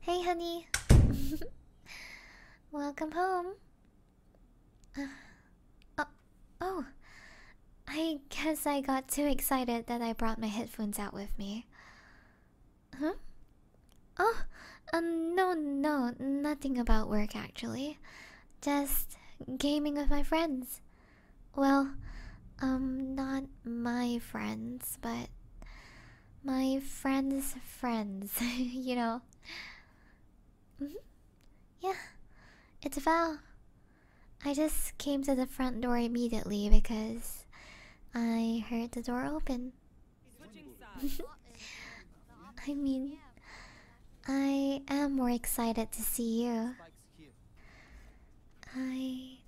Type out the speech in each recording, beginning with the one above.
Hey, honey. Welcome home. Uh, oh, oh, I guess I got too excited that I brought my headphones out with me. Huh? Oh, um, no, no, nothing about work actually. Just gaming with my friends. Well, um, not my friends, but my friends' friends, you know. Mm-hmm. Yeah, it's Val. I just came to the front door immediately because I heard the door open. I mean, I am more excited to see you. I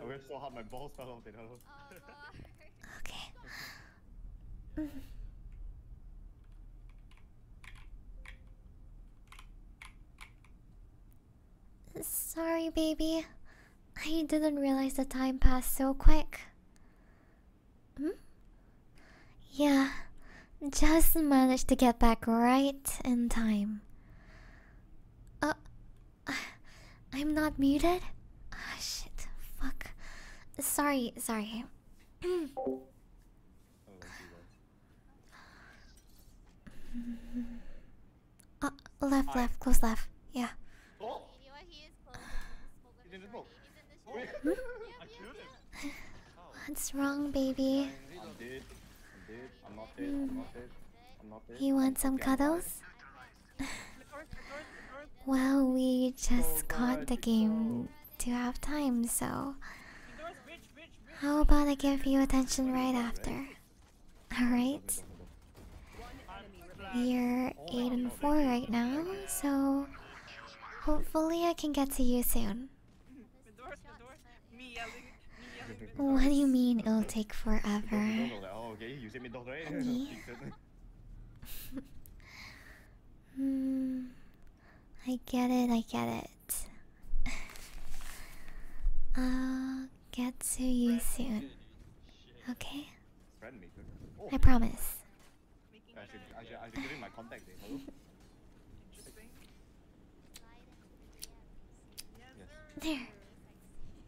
I wish I had my balls fell off, you know. Oh, okay. Sorry, baby. I didn't realize the time passed so quick. Hmm? Yeah, just managed to get back right in time. Uh, I'm not muted? Ah, oh, shit. Fuck. Sorry, sorry. uh, left, left, close left. Yeah. What's wrong, baby? You want some cuddles? well, we just caught the game to have time, so. How about I give you attention right after? Alright? You're 8 and 4 right now, so. Hopefully, I can get to you soon. What do you mean it'll take forever? mm, I get it, I get it. I'll get to you soon. Okay? I promise. There.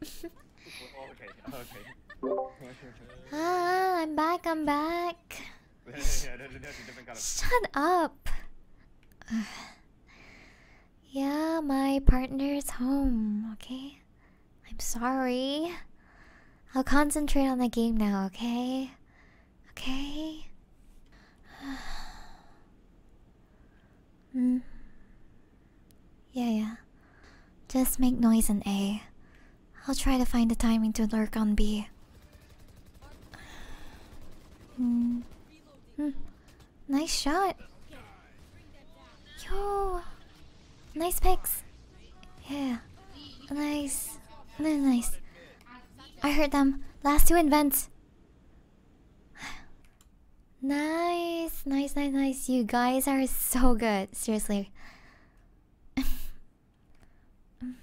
ah, I'm back, I'm back. Shut up. yeah, my partner's home, okay? I'm sorry. I'll concentrate on the game now, okay? Okay? Mm. Yeah, yeah. Just make noise in A. I'll try to find the timing to lurk on B. Mm. Hmm. Nice shot. Yo. Nice picks. Yeah. Nice. Nice. I heard them. Last two events. nice, nice, nice, nice. You guys are so good. Seriously. hmm?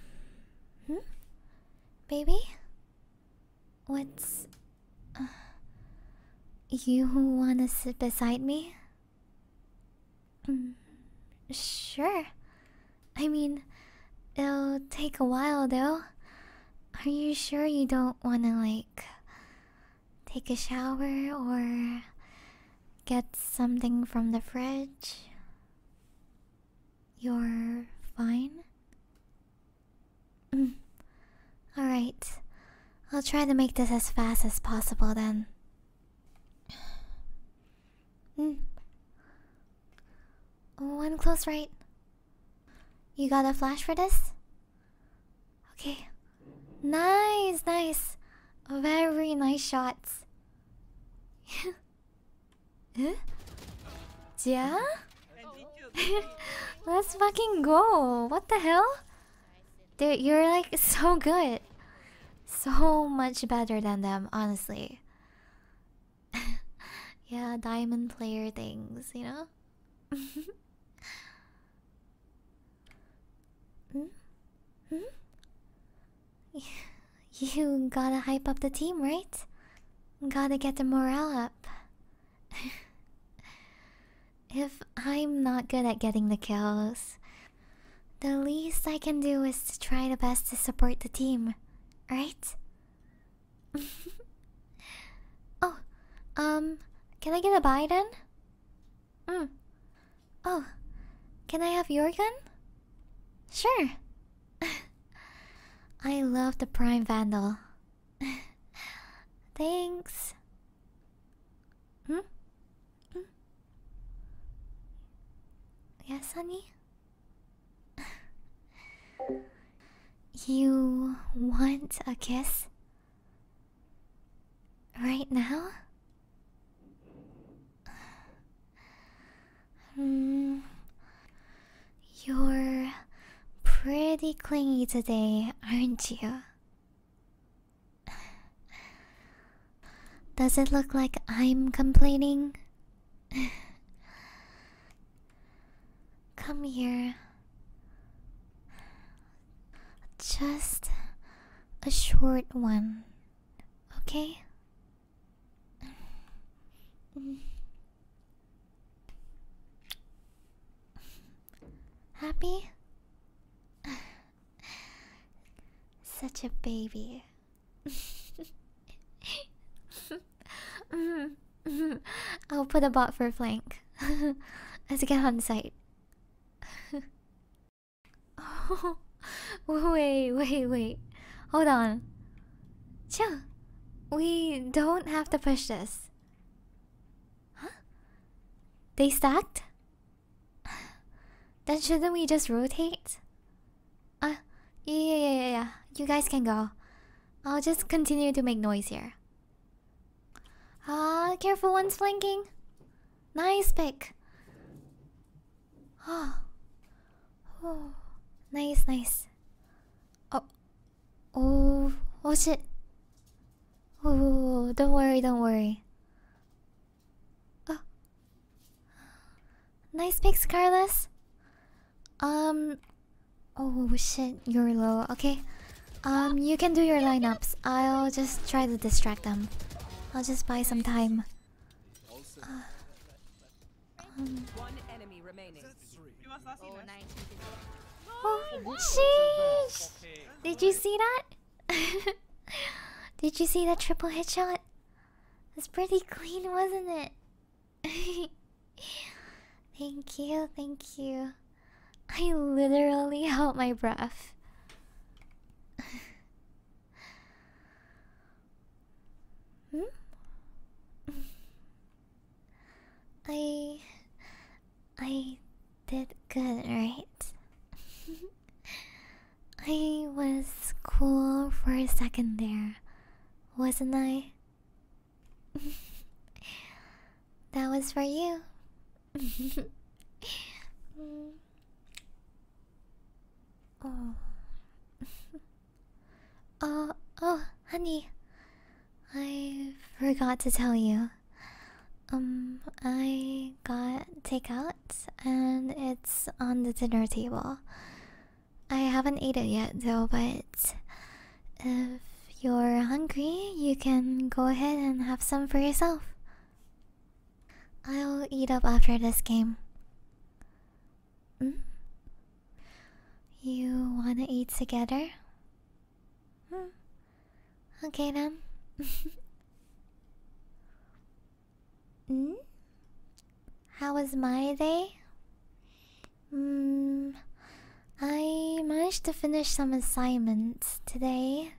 Baby? What's. Uh, you wanna sit beside me? Mm, sure. I mean, it'll take a while though. Are you sure you don't want to, like, take a shower or get something from the fridge? You're fine? Mm. Alright. I'll try to make this as fast as possible then. Mm. One oh, close, right? You got a flash for this? Okay. Nice, nice. Very nice shots. eh? Yeah? Let's fucking go. What the hell? Dude, you're like so good. So much better than them, honestly. yeah, diamond player things, you know? hmm? Hmm? You gotta hype up the team, right? Gotta get the morale up. if I'm not good at getting the kills, the least I can do is to try the best to support the team, right? oh, um, can I get a buy then? Mm. Oh, can I have your gun? Sure. I love the Prime Vandal. Thanks. Hmm? Mm. Yes, honey? you want a kiss? Right now? Hmm, you're pretty clingy today, aren't you? Does it look like I'm complaining? Come here. Just a short one, okay? Happy? Such a baby. I'll put a bot for flank as I get on site. oh, wait, wait, wait. Hold on. Chill. We don't have to push this. Huh? They stacked? Then shouldn't we just rotate? Uh, yeah, yeah, yeah, yeah. You guys can go. I'll just continue to make noise here. Ah, careful, one's flanking. Nice pick. Oh. oh, nice, nice. Oh, oh, oh shit. Oh, don't worry, don't worry. Oh, Nice pick, Scarless. Um. Oh, oh shit, you're low. Okay. Um, you can do your lineups. I'll just try to distract them. I'll just buy some time. Uh, um. Oh, sheesh! Did you see that? Did you see that triple hit shot? It's pretty clean, wasn't it? thank you, thank you. I literally held my breath. hmm? I I did good, right? I was cool for a second there, wasn't I? that was for you. Oh. oh. oh, honey. I forgot to tell you. Um, I got takeout and it's on the dinner table. I haven't ate it yet though, but if you're hungry, you can go ahead and have some for yourself. I'll eat up after this game. Mm? You wanna eat together? Mm. Okay then. Hmm? How was my day? Hmm. I managed to finish some assignments today.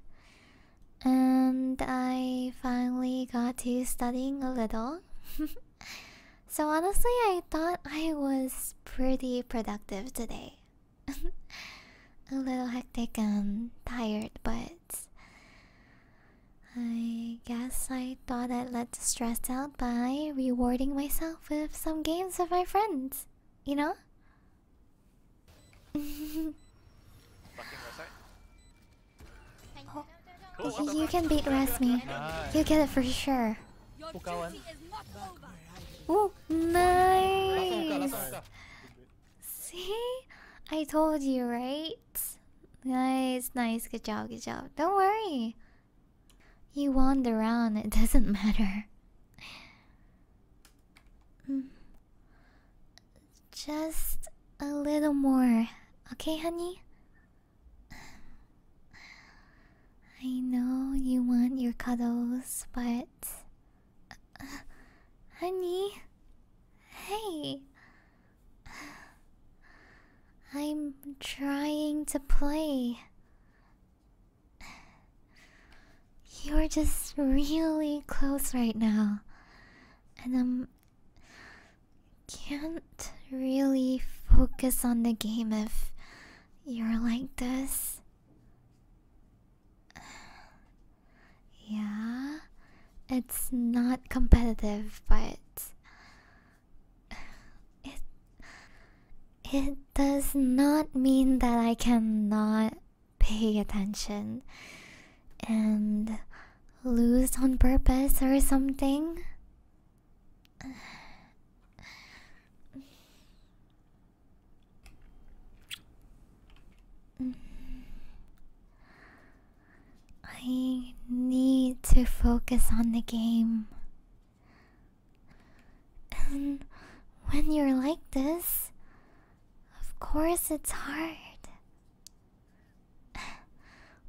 And I finally got to studying a little. so, honestly, I thought I was pretty productive today. a little hectic and tired, but I guess I thought I'd let the stress out by rewarding myself with some games with my friends, you know? Oh, you can beat Rasmi. Nice. You get it for sure. Oh, nice! See? I told you, right? Nice, nice, good job, good job. Don't worry. You wander around, it doesn't matter. Mm. Just a little more, okay, honey? I know you want your cuddles, but. Uh, honey? Hey! I'm trying to play. You're just really close right now. And i um, can't really focus on the game if you're like this. Yeah, it's not competitive, but it it does not mean that I cannot pay attention and lose on purpose or something. I need to focus on the game. And when you're like this, of course it's hard.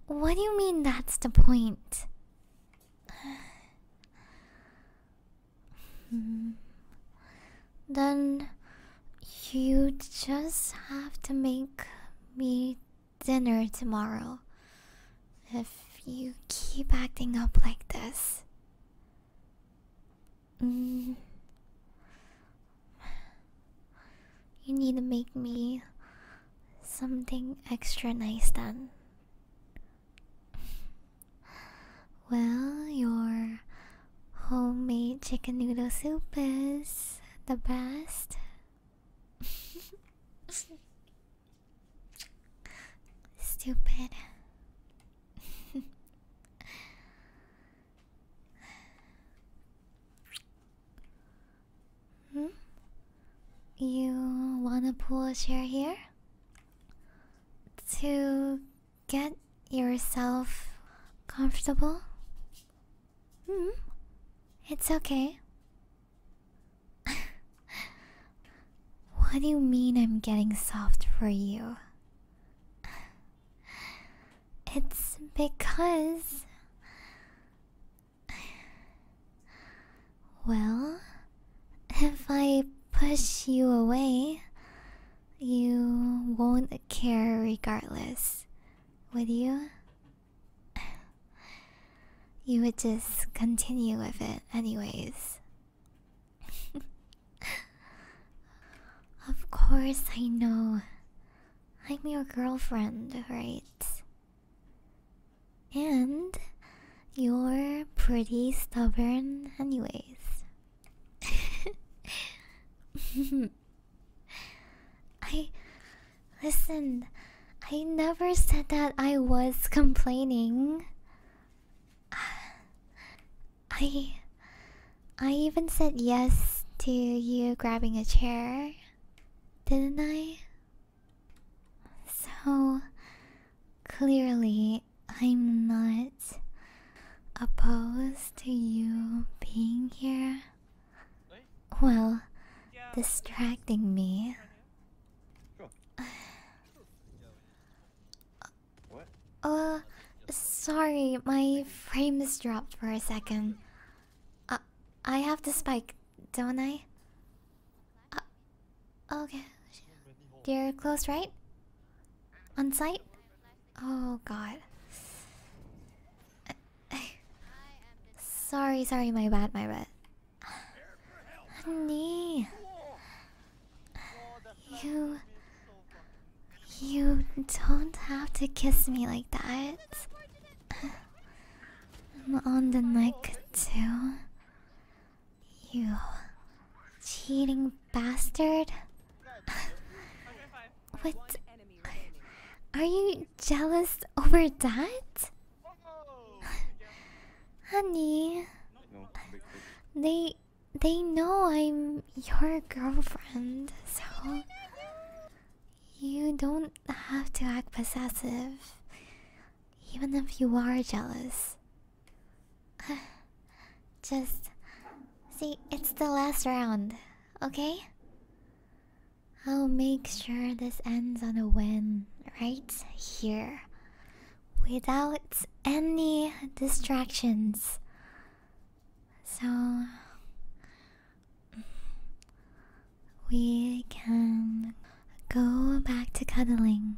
What do you mean that's the point? Hmm. Then you just have to make me dinner tomorrow. If you keep acting up like this. Mm. You need to make me something extra nice then. Well, you're. Homemade chicken noodle soup is the best. Stupid. hmm? You wanna pull a chair here? To get yourself comfortable? Hmm. It's okay. what do you mean I'm getting soft for you? It's because. Well, if I push you away, you won't care regardless, would you? You would just continue with it, anyways. of course, I know. I'm your girlfriend, right? And you're pretty stubborn, anyways, I listen, I never said that I was complaining. I I even said yes to you grabbing a chair, didn't I? So clearly I am not opposed to you being here. Well, distracting me. What? Uh, sorry, my frame is dropped for a second. Uh, I have the spike, don't I? Uh, okay. You're close, right? On site? Oh god. sorry, sorry, my bad, my bad. Honey. You. You don't have to kiss me like that. And on the neck, too. You. Cheating bastard. what? Are you jealous over that? Honey. they they know I'm your girlfriend, so you don't have to act possessive. Even if you are jealous, Just see, it's the last round, okay? I'll make sure this ends on a win right here without any distractions. So we can go back to cuddling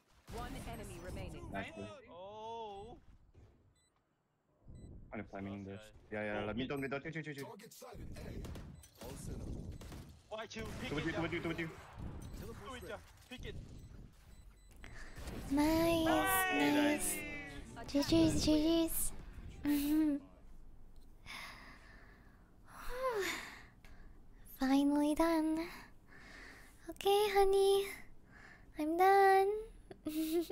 One enemy remaining. Nice. Oh. 아니 발명인 듯. 야야, 나 민동 민동 튀튀 튀튀. Why two? Pick it. 두번 뒤, 두번 뒤, 두번 it. Nice, nice. GG's, GG's. Finally done. Okay, honey. I'm done.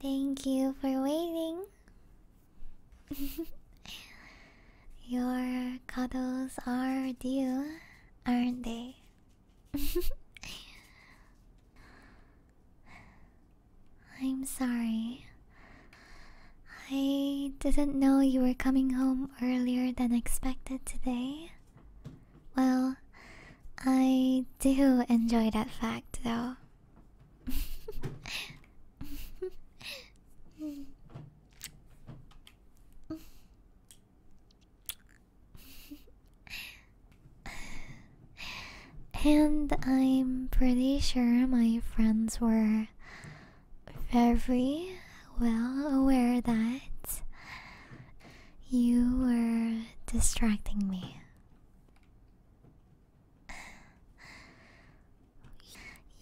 Thank you for waiting. Your cuddles are due, aren't they? I'm sorry. I didn't know you were coming home earlier than expected today. Well, I do enjoy that fact though. and I'm pretty sure my friends were very well aware that you were distracting me.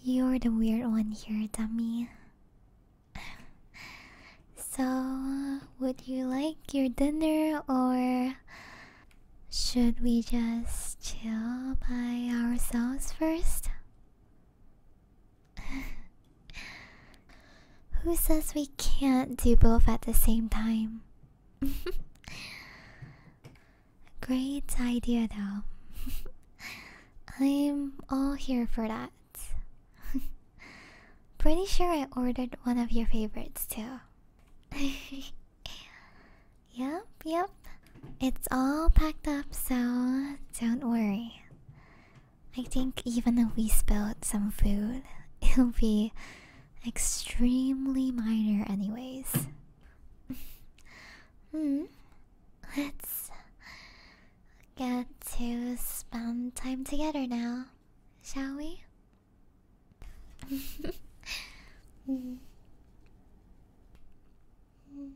You're the weird one here, dummy. So, would you like your dinner or should we just chill by ourselves first? Who says we can't do both at the same time? Great idea, though. I'm all here for that. Pretty sure I ordered one of your favorites, too. yep, yep. It's all packed up, so don't worry. I think even if we spilled some food, it'll be extremely minor, anyways. Hmm, let's get to spend time together now, shall we? Hmm. Hmm.